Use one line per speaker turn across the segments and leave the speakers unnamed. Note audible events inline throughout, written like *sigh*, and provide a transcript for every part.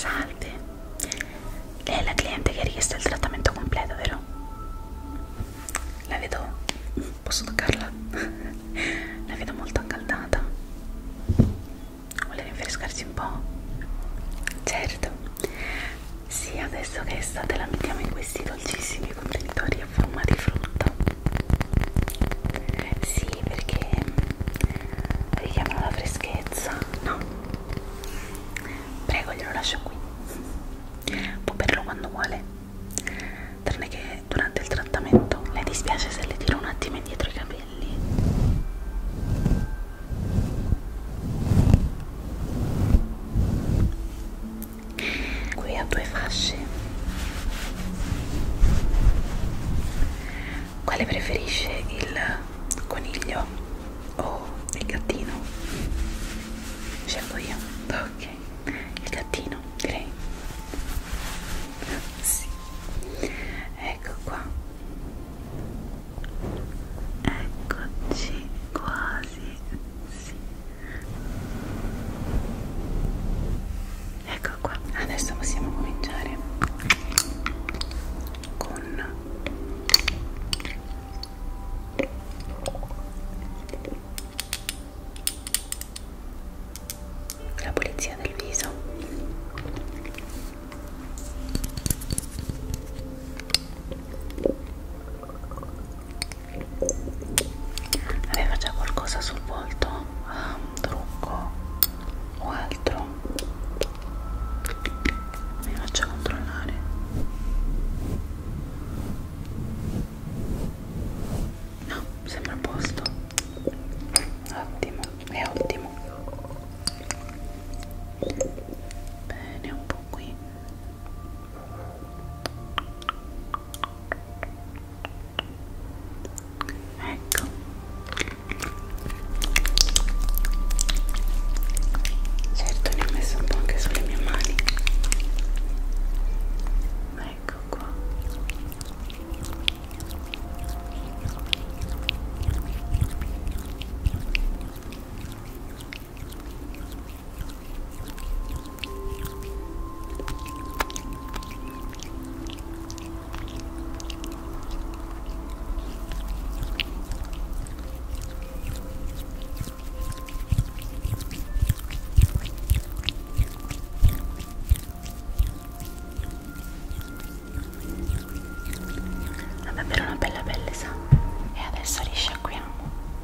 Salve, lei è la cliente che richiede il trattamento completo, vero? La vedo, posso toccarla? *laughs* la vedo molto accaldata. Vuole rinfrescarsi un po'? Certo, sì, adesso che è estate la mettiamo in questi dolcissimi contenitori a forma di frutta sì, perché richiamano mm, la freschezza. No, prego, glielo lascio qui. Può berlo quando vuole, tranne che durante il trattamento. Le dispiace se le tiro un attimo indietro i capelli? qui a due fasce quale preferisce il coniglio o il gattino? scelgo io ok il gattino direi sì. ecco qua eccoci quasi sì ecco qua adesso possiamo cominciare con la pulizia del viso aveva già qualcosa sul volto ah, un trucco o altro mi faccio controllare no sembra a posto ottimo è ottimo bene un po' qui ecco certo ne ho messo un po' anche sulle mie mani ecco qua Vabbè, per una bella pelle sa. E adesso risciacquiamo.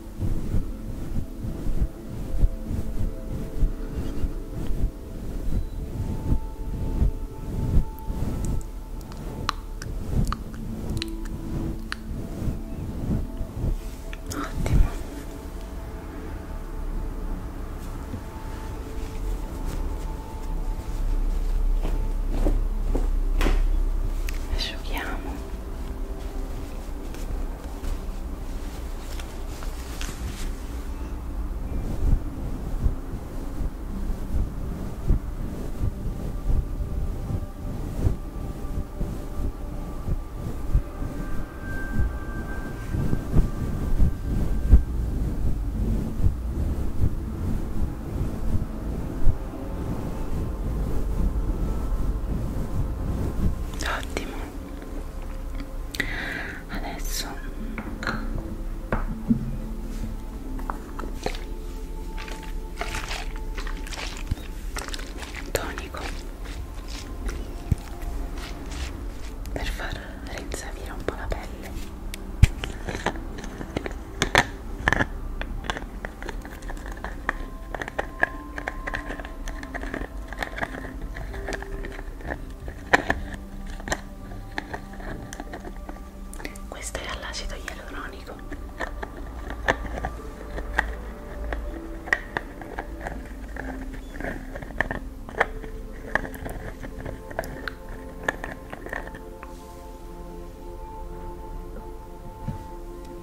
Ottimo. Asciughiamo. Ottimo, adesso tonico per far rinsavire un po' la pelle questa è all'acido ialuronico.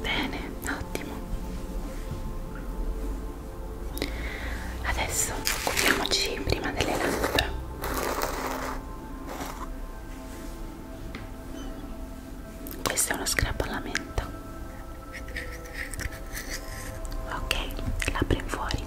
Bene, ottimo. Adesso occupiamoci prima delle labbra. Questo è uno scrap alla menta. Ok, labbra in fuori.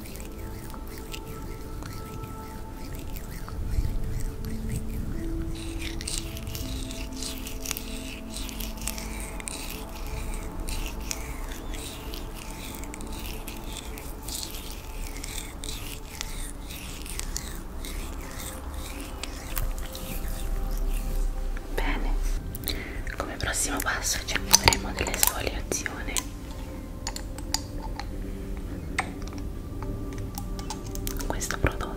Bene, come prossimo passo ci applicheremo dell'esfoliazione questo prodotto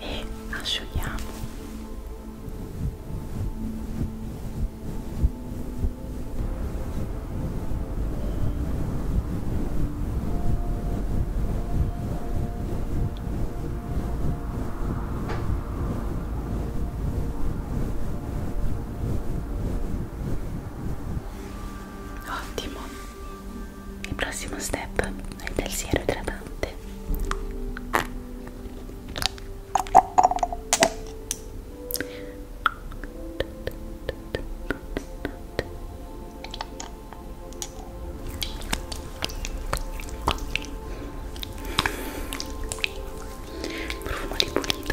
e asciughiamo Ottimo, il prossimo step è del siero idratante profumo di pulito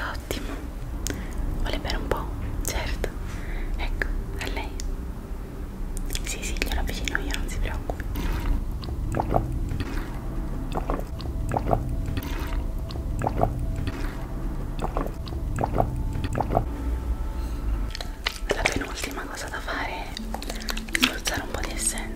Ottimo. Vuole bere un po'? Certo. Ecco, a lei. Sì, sì, glielo avvicino io, non si preoccupi. La penultima cosa da fare è spruzzare un po' di essenza.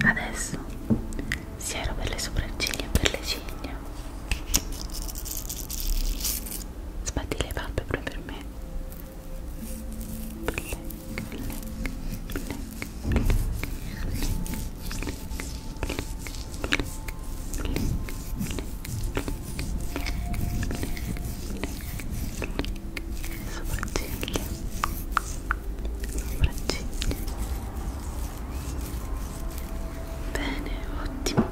Bene, adesso siero per le sopracciglia e per le ciglia. Sbatti le palpebre per me. Black, black, black sopracciglia sopracciglia bene ottimo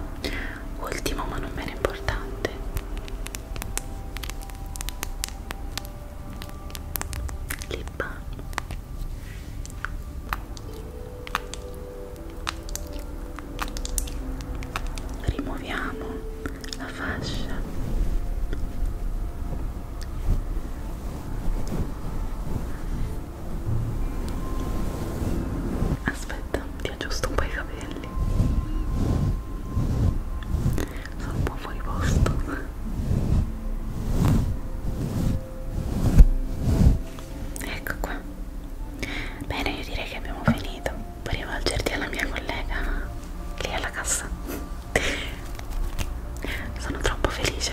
ultimo ma non meno importante lip balm rimuoviamo la fascia aspetta ti aggiusto un po' i capelli sono un po' fuori posto ecco qua bene io direi che abbiamo finito puoi rivolgerti alla mia collega lì alla cassa sono troppo felice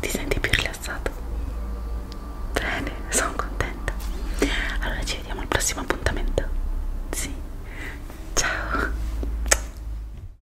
ti senti più rilassato bene sono contenta allora ci vediamo al prossimo appuntamento sì ciao